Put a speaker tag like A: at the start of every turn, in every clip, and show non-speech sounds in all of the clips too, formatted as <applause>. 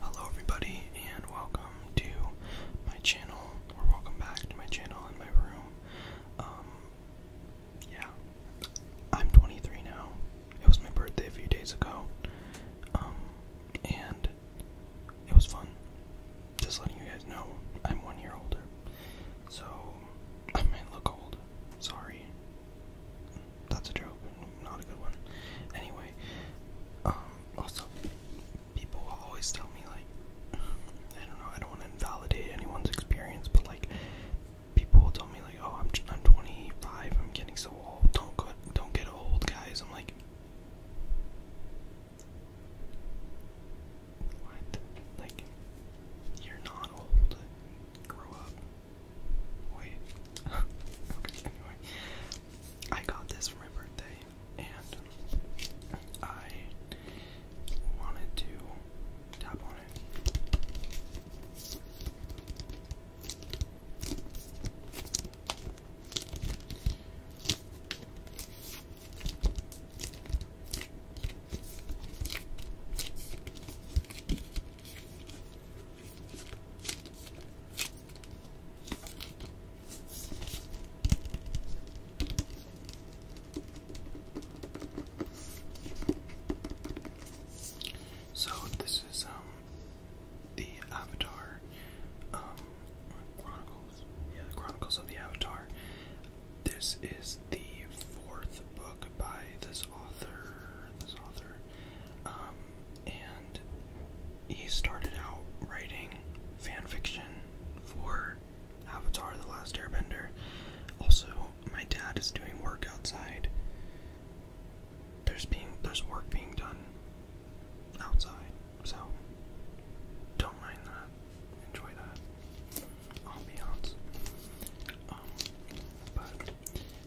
A: Hello everybody and welcome to my channel, or welcome back to my channel in my room. Um, yeah, I'm 23 now. It was my birthday a few days ago, um, and it was fun. Just letting you guys know, I'm one year older, so I might look old. Sorry, that's a joke, not a good one. Anyway, um, also, people always tell me, like, I don't know, I don't want to invalidate anyone's experience, but, like, people will tell me, like, oh, I'm, I'm 25, I'm getting so old, don't, go, don't get old, guys. I'm like, what? Like, you're not old. Grow up. Wait. <laughs> okay, anyway. I got this for my birthday and I wanted to tap on it. So this is um the Avatar um Chronicles. Yeah, the Chronicles of the Avatar. This is the fourth book by this author. This author um, and he started out writing fan fiction for Avatar The Last Airbender. Also, my dad is doing work outside. There's being there's work being done outside, so don't mind that. Enjoy that ambiance. Um, but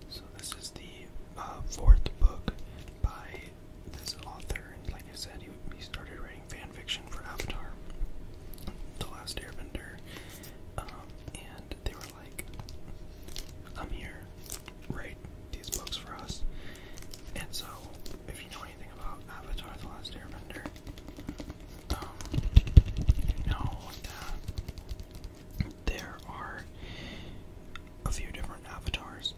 A: so this is the uh, fourth book by this author, and like I said, he, he started writing fan fiction for Avatar, The Last Airbender, um, and they were like, "I'm here, write these books for us." And so, if you know anything about Avatar: The Last Airbender, um, you there are a few different avatars,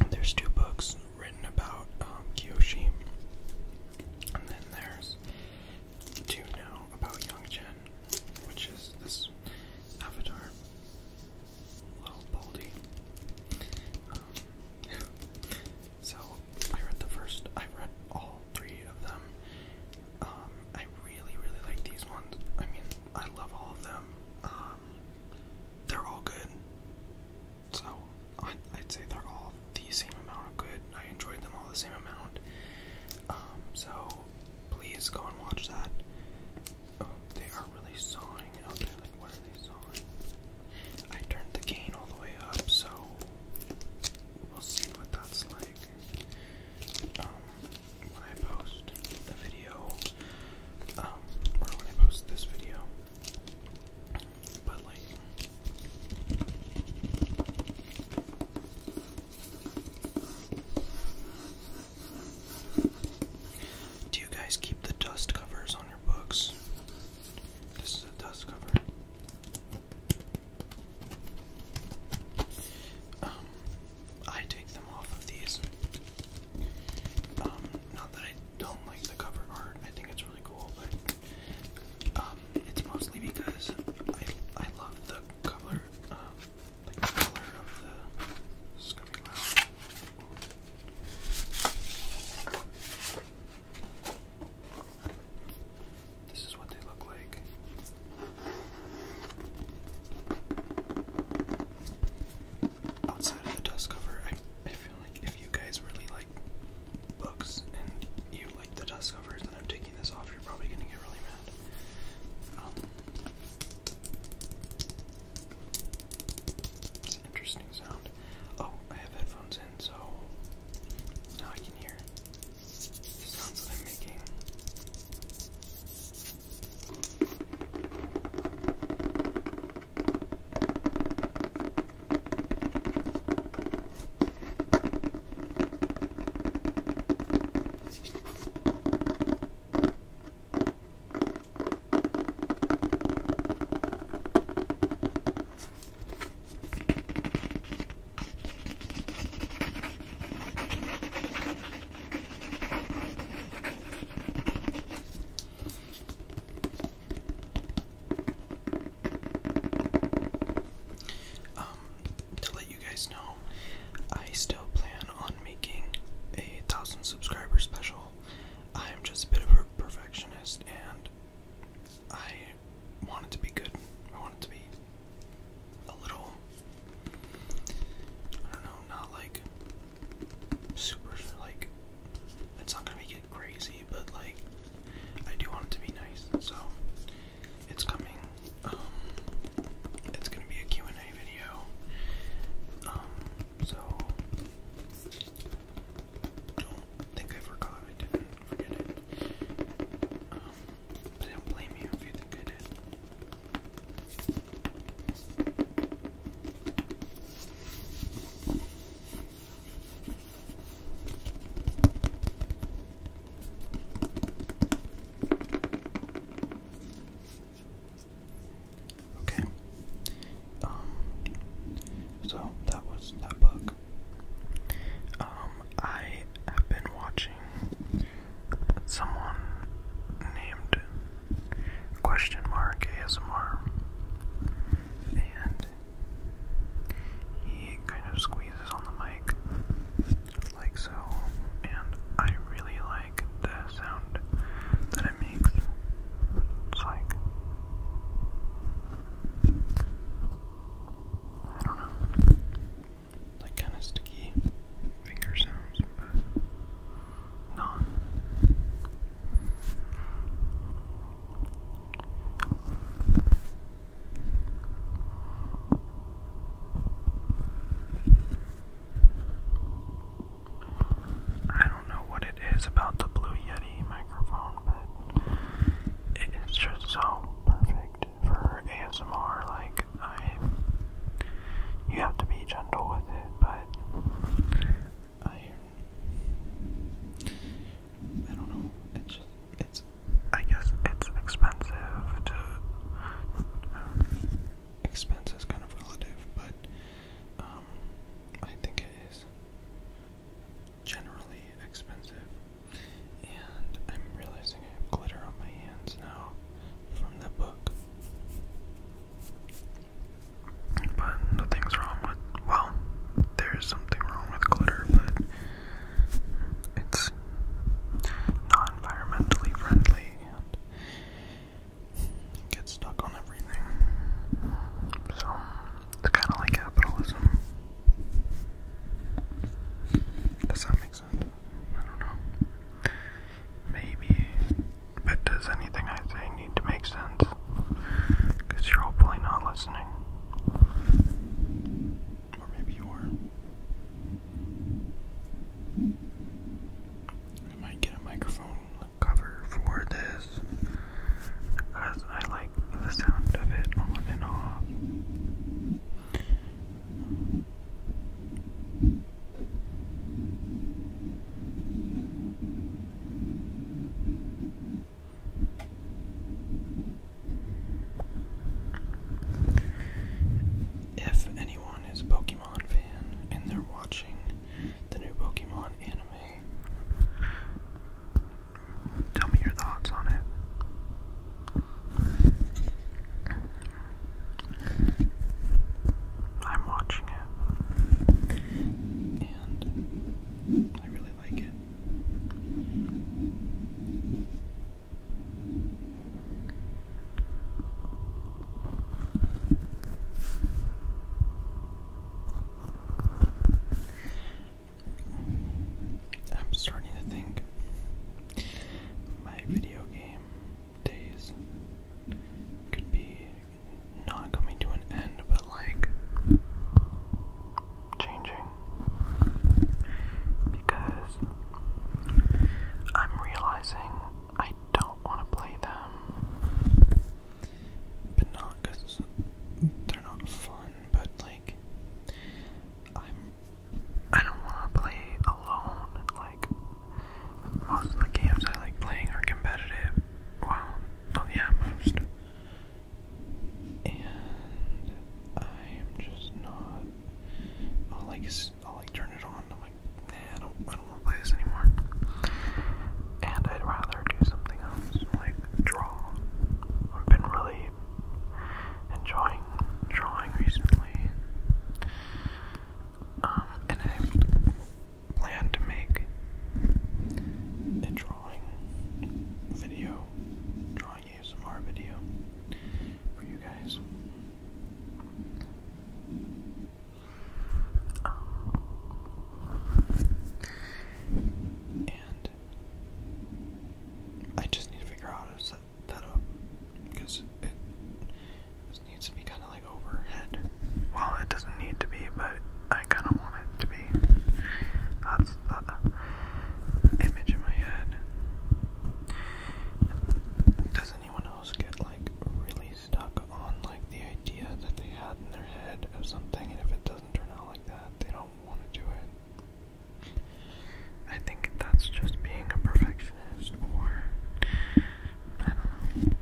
A: and there's two books written about um, Kyoshi, and then there's two now about Young Jin, which is this avatar, little Baldy. Um, <laughs> so I read the first. I read all three of them, um, I really, really like these ones. I mean, I love all of them. Um, they're all good. So, I, I'd say they're all the same amount of good. I enjoyed them all the same amount. Um, so, please go and watch that. Oh, they are really sawing out Like, what are they sawing? I turned the gain all the way up, so we'll see what that's like. Um, when I post the video, um, or when I post this video, but like. Do you guys keep the dust covers on your books? This is a dust cover. Um, I take them off of these. Um, not that I don't like the cover art, I think it's really cool, but um, it's mostly because I, I love the color, the color of the Scummy this is what they look like. Outside of the dust cover, I, I feel like if you guys really like books and you like the dust cover, then I'm taking this off. You're probably gonna get really mad. Um, interesting sound. Oh, I have headphones in, so now I can hear sounds that I'm making. Um, to let you guys know, I still plan on making a thousand subscriber special. I am just a bit of a perfectionist and I I want it to be good. I want it to be a little, I don't know, not like super, like, it's not gonna make crazy, but like, I do want it to be nice. So, it's coming. Um, it's gonna be a and a video. Um, so, don't think I forgot. I didn't forget it. Um, I don't blame you if you think I did. Okay. Um so that was that book. Um I have been watching someone named question mark ASMR and he kind of squeezes on the mic like so and I really like the sound that it makes. It's like I don't know like kind of sticky finger sounds, but not. I don't know what it is about the Blue Yeti microphone, but it is just so perfect good for ASMR. Like I, you have to be gentle with it, but I, I don't know. It's just, it's. I guess it's expensive to. Um, expense is kind of relative, but um, I think it is generally expensive and I'm realizing I have glitter on my hands now from the book. But nothing's wrong with, well, there's something wrong with glitter, but it's not environmentally friendly and gets stuck on everything. So, it's kind of like capitalism. Does that make I don't know. Maybe. But does anything I say need to make sense? Because you're hopefully not listening. Or maybe you are. I might get a microphone cover for this. Because I like the sound of it on and off. If anyone is a Pokemon fan and they're watching the new Pokemon anime, Tell me your thoughts on it. I'm watching it, and I really like it. I'm starting to think my video game days could be not coming to an end, but like changing because I'm realizing I don't want to play them, but not because they're not fun, but like I'm I don't want to play alone. Like most of the games I like playing are competitive. Well, oh yeah, most. And I am just not. I'll like I'll like turn it on. I'm like, nah, I don't want to play this anymore. And I'd rather do something else, like draw. or have been really really enjoying drawing recently. Um, and I plan to make a drawing video, drawing ASMR video for you guys. Um, and I just need to figure out that up because it just needs to be kind of like overhead. Well, it doesn't need to be, but I kind of want it to be. That's the image in my head. Does anyone else get like really stuck on like the idea that they had in their head of something, and if it doesn't turn out like that, they don't want to do it? I think that's just being a perfectionist, or I don't know.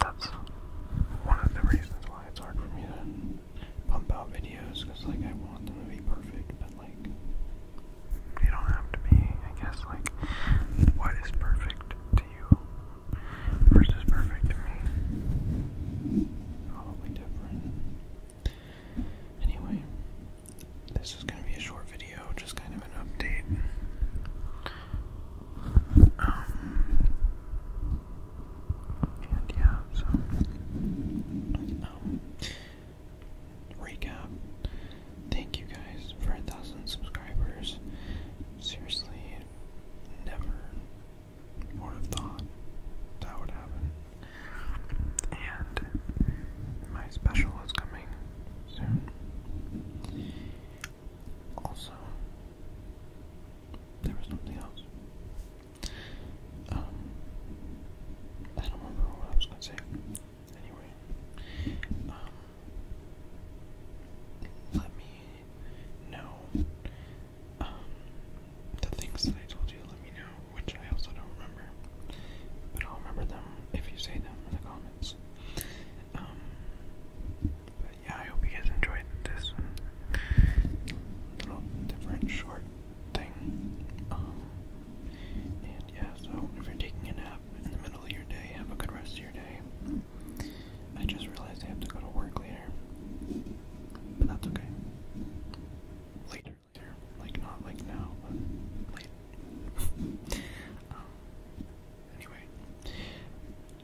A: That's one of the reasons why it's hard for me to pump out videos, because like I want them to be perfect, but like they don't have to be. I guess like what is perfect to you versus perfect to me. Probably different. Anyway, this is going to be a short video, just kind of an update. Um, and yeah, so, um, recap. Thank you guys for a thousand subscribers. Seriously, never would have thought that would happen. And my special is coming soon. Also, there was something else. Um, I don't remember what I was gonna say. Anyway, um, let me know um, the things that I told you, let me know, which I also don't remember. But I'll remember them if you say them in the comments. Um, but yeah, I hope you guys enjoyed this little different short thing. Um, and yeah, so if you're taking a nap in the middle of your day, have a good rest of your day. I just realized I have to go to work later, but that's okay later, later. Like, not like now, but late. <laughs> Um, anyway,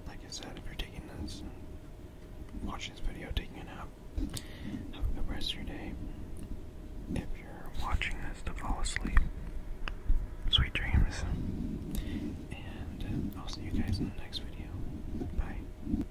A: like I said, if you're taking this and watching this video, taking a nap, have a good rest of your day. If you're watching this to fall asleep, sweet dreams. And I'll see you guys in the next video. Bye.